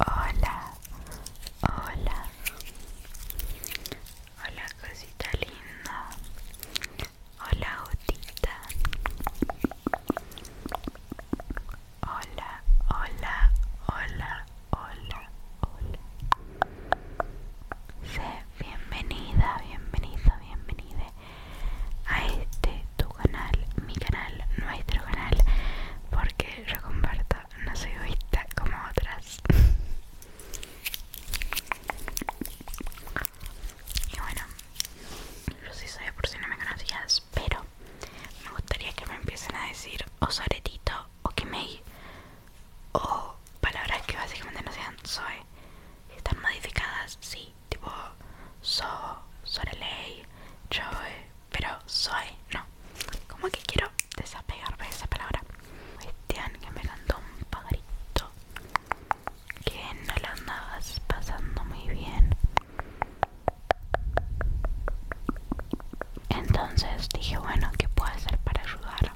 Hola, hola, hola cosita linda, hola gotita, hola, hola, hola, hola, hola. Sé bienvenida, bienvenido, bienvenida a este tu canal, mi canal, nuestro canal, porque yo comparto, no soy vista como otras. y bueno, yo sí soy por si no me conocías, pero me gustaría que me empiecen a decir O osoretito o kimei o palabras que básicamente no sean soy están modificadas, sí, tipo So, ley yo eh, pero Soy no. Como que quiero desapegarme de esa palabra. Cristian, que me cantó un pajarito que no lo andabas pasando muy bien. Entonces dije, bueno, ¿qué puedo hacer para ayudar?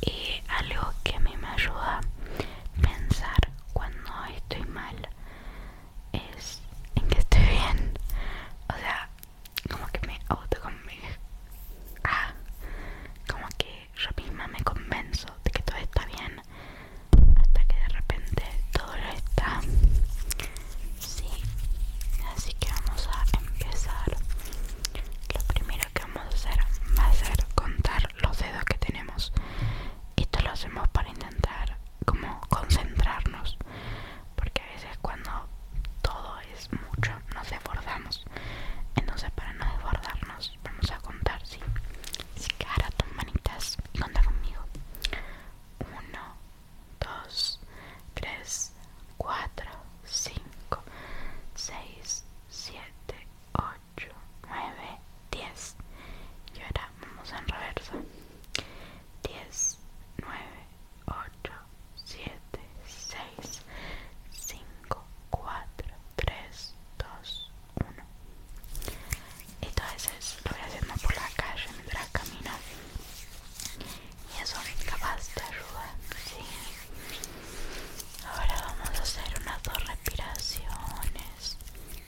Y algo que a mí me ayuda pensar cuando estoy mal es en que estoy bien. O sea, como que me auto ah, como que yo misma me convenzo de que todo está bien hasta que de repente todo lo está. Sí, así que vamos a empezar. Lo primero que vamos a hacer va a ser contar los dedos que tenemos. Esto lo hacemos para intentar como concentrarnos, porque a veces cuando todo es mucho nos desbordamos. Entonces para no desbordarnos vamos a contar, ¿sí? Si tus manitas y contar conmigo. 1, 2, 3, 4, 5, 6, 7, 8. 8, 9, 10 y ahora vamos en reversa 10, 9, 8, 7, 6, 5, 4, 3, 2, 1 y todo eso lo voy haciendo por la calle mientras camino y eso capaz de ayudar Ahora vamos a hacer unas dos respiraciones.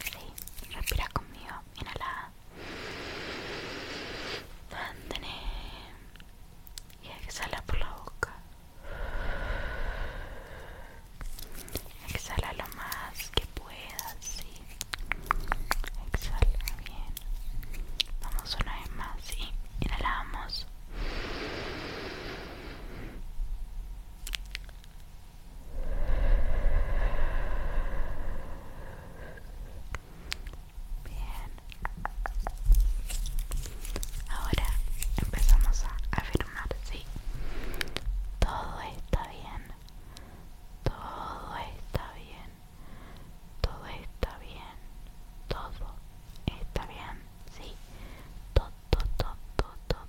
Sí, respira conmigo. Inhala. Mantén. Y exhala por la boca. Exhala lo más que puedas, sí. Exhala bien. Vamos una vez más, sí. Inhalamos. Bien. Ahora empezamos a afirmar, sí. Todo está bien. Todo está bien. Todo está bien. Todo está bien. Sí. Todo, todo, todo, todo,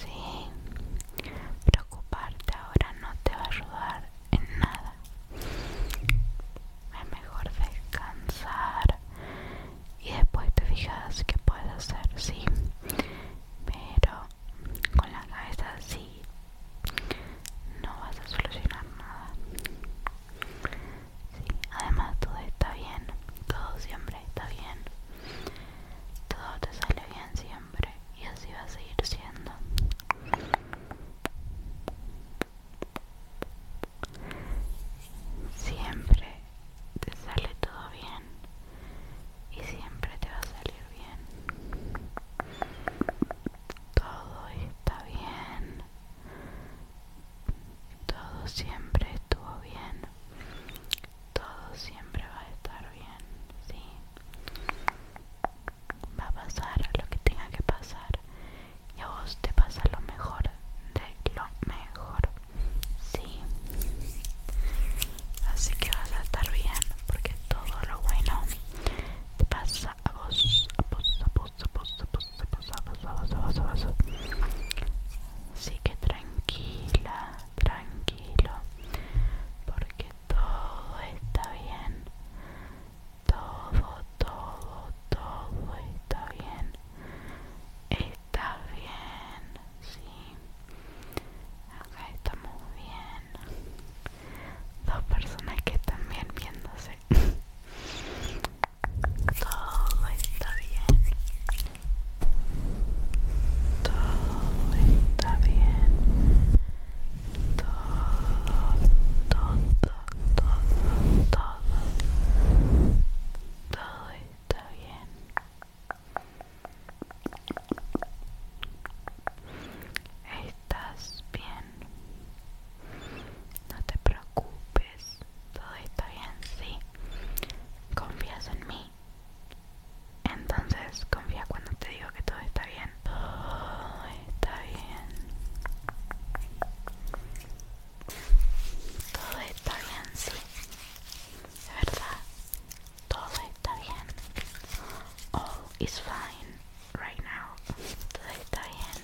Sí, preocuparte ahora no te va a ayudar en nada. Es mejor descansar y después te fijas que puedes hacer, sí. Pero con la cabeza así no vas a solucionar nada. Sí, además todo está bien, todo siempre está bien. Todo te sale bien siempre y así va a seguir siendo. Siempre te sale todo bien y siempre te va a salir bien. Todo está bien. Todo siempre estuvo bien todo siempre va a estar bien, sí. Va a pasar lo que tenga que pasar y a vos te pasa lo mejor de lo mejor, sí. Así que vas a estar bien porque todo lo bueno te pasa a vos, a vos, a vos, a vos, a vos. Así que tranquila, tranquilo, porque todo está bien. Todo, todo, todo está bien. Está bien, sí. Acá estamos bien. Dos personas que están bien viéndose. Todo está bien. Todo está bien. Todo, todo, todo, todo. Todo está bien. Estás bien. No te preocupes todo está bien, sí. Confías en mí. Entonces confía cuando te digo que todo está bien. Todo está bien. Todo está bien, sí. De verdad, todo está bien. All is fine right now. Todo está bien,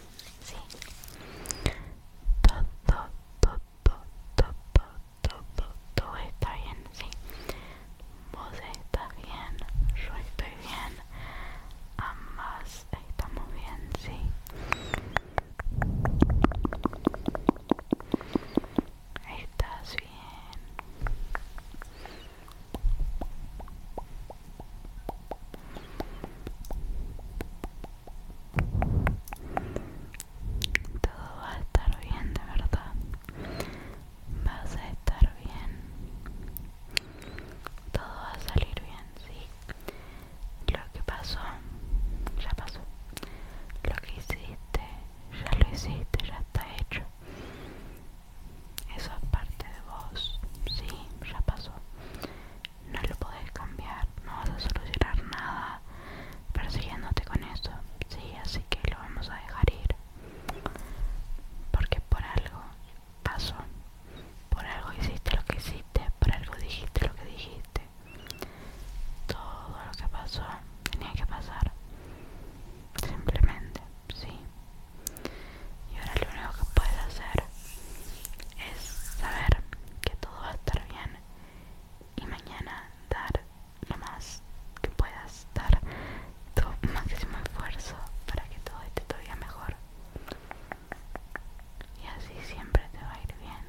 sí. Todo, todo, todo, todo, todo está bien, sí. Vos estás bien, yo estoy bien, ambas estamos bien, sí. Estás bien. Todo va a estar bien, de verdad. Vas a estar bien. Todo va a salir bien, sí. Lo que pasó, ya pasó. Lo que hiciste, ya lo hiciste, ya está hecho. Eso es parte de vos, sí, ya pasó no lo podés cambiar, no vas a solucionar nada persiguiéndote con eso, sí, así que lo vamos a dejar ir, porque por algo pasó, por algo hiciste lo que hiciste, por algo dijiste lo que dijiste, todo lo que pasó tenía que pasar, simplemente, sí. Y ahora lo único que puedes hacer es saber que todo va a estar bien y mañana dar lo más que puedas, dar tu máximo esfuerzo para que todo esté todavía mejor. Y así siempre te va a ir bien.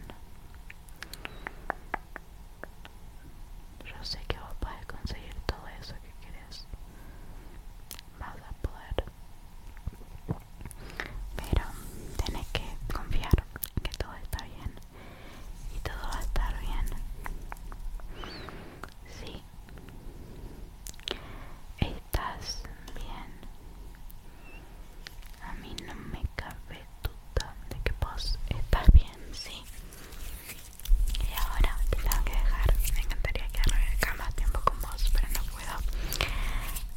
Yo sé que vos podés conseguir todo eso que querés. Vas a poder pero tenés que confiar en que todo está bien y todo va a estar bien sí estás bien a mí no me cabe duda de que vos estás bien sí y ahora te tengo que dejar me encantaría quedarme acá más tiempo con vos pero no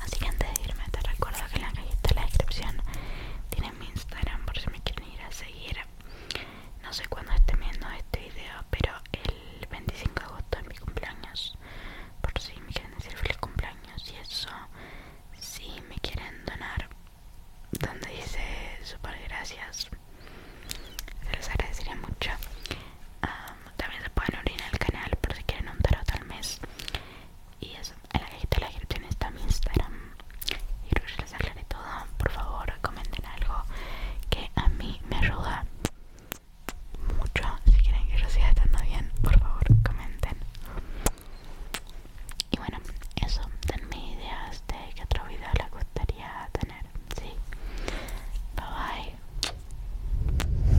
Así que antes de irme, te recuerdo que en la cajita de la descripción tienes mi Instagram por si me quieren ir a seguir. No sé cuándo estén viendo este video, pero el 25 de agosto es mi cumpleaños. Por si me quieren decir feliz cumpleaños y eso, si me quieren donar, donde dice super gracias, se los agradecería mucho. Ah, también se pueden unir al canal por si quieren un tarot al mes. Y eso, en la cajita de la descripción está mi Instagram. Y creo que les aclaré todo. Por favor, comenten algo que a mí me ayuda mucho. Si quieren que yo siga estando bien, por favor, comenten. Y bueno, eso, denme ideas de qué otro video les gustaría tener. Sí. Bye bye.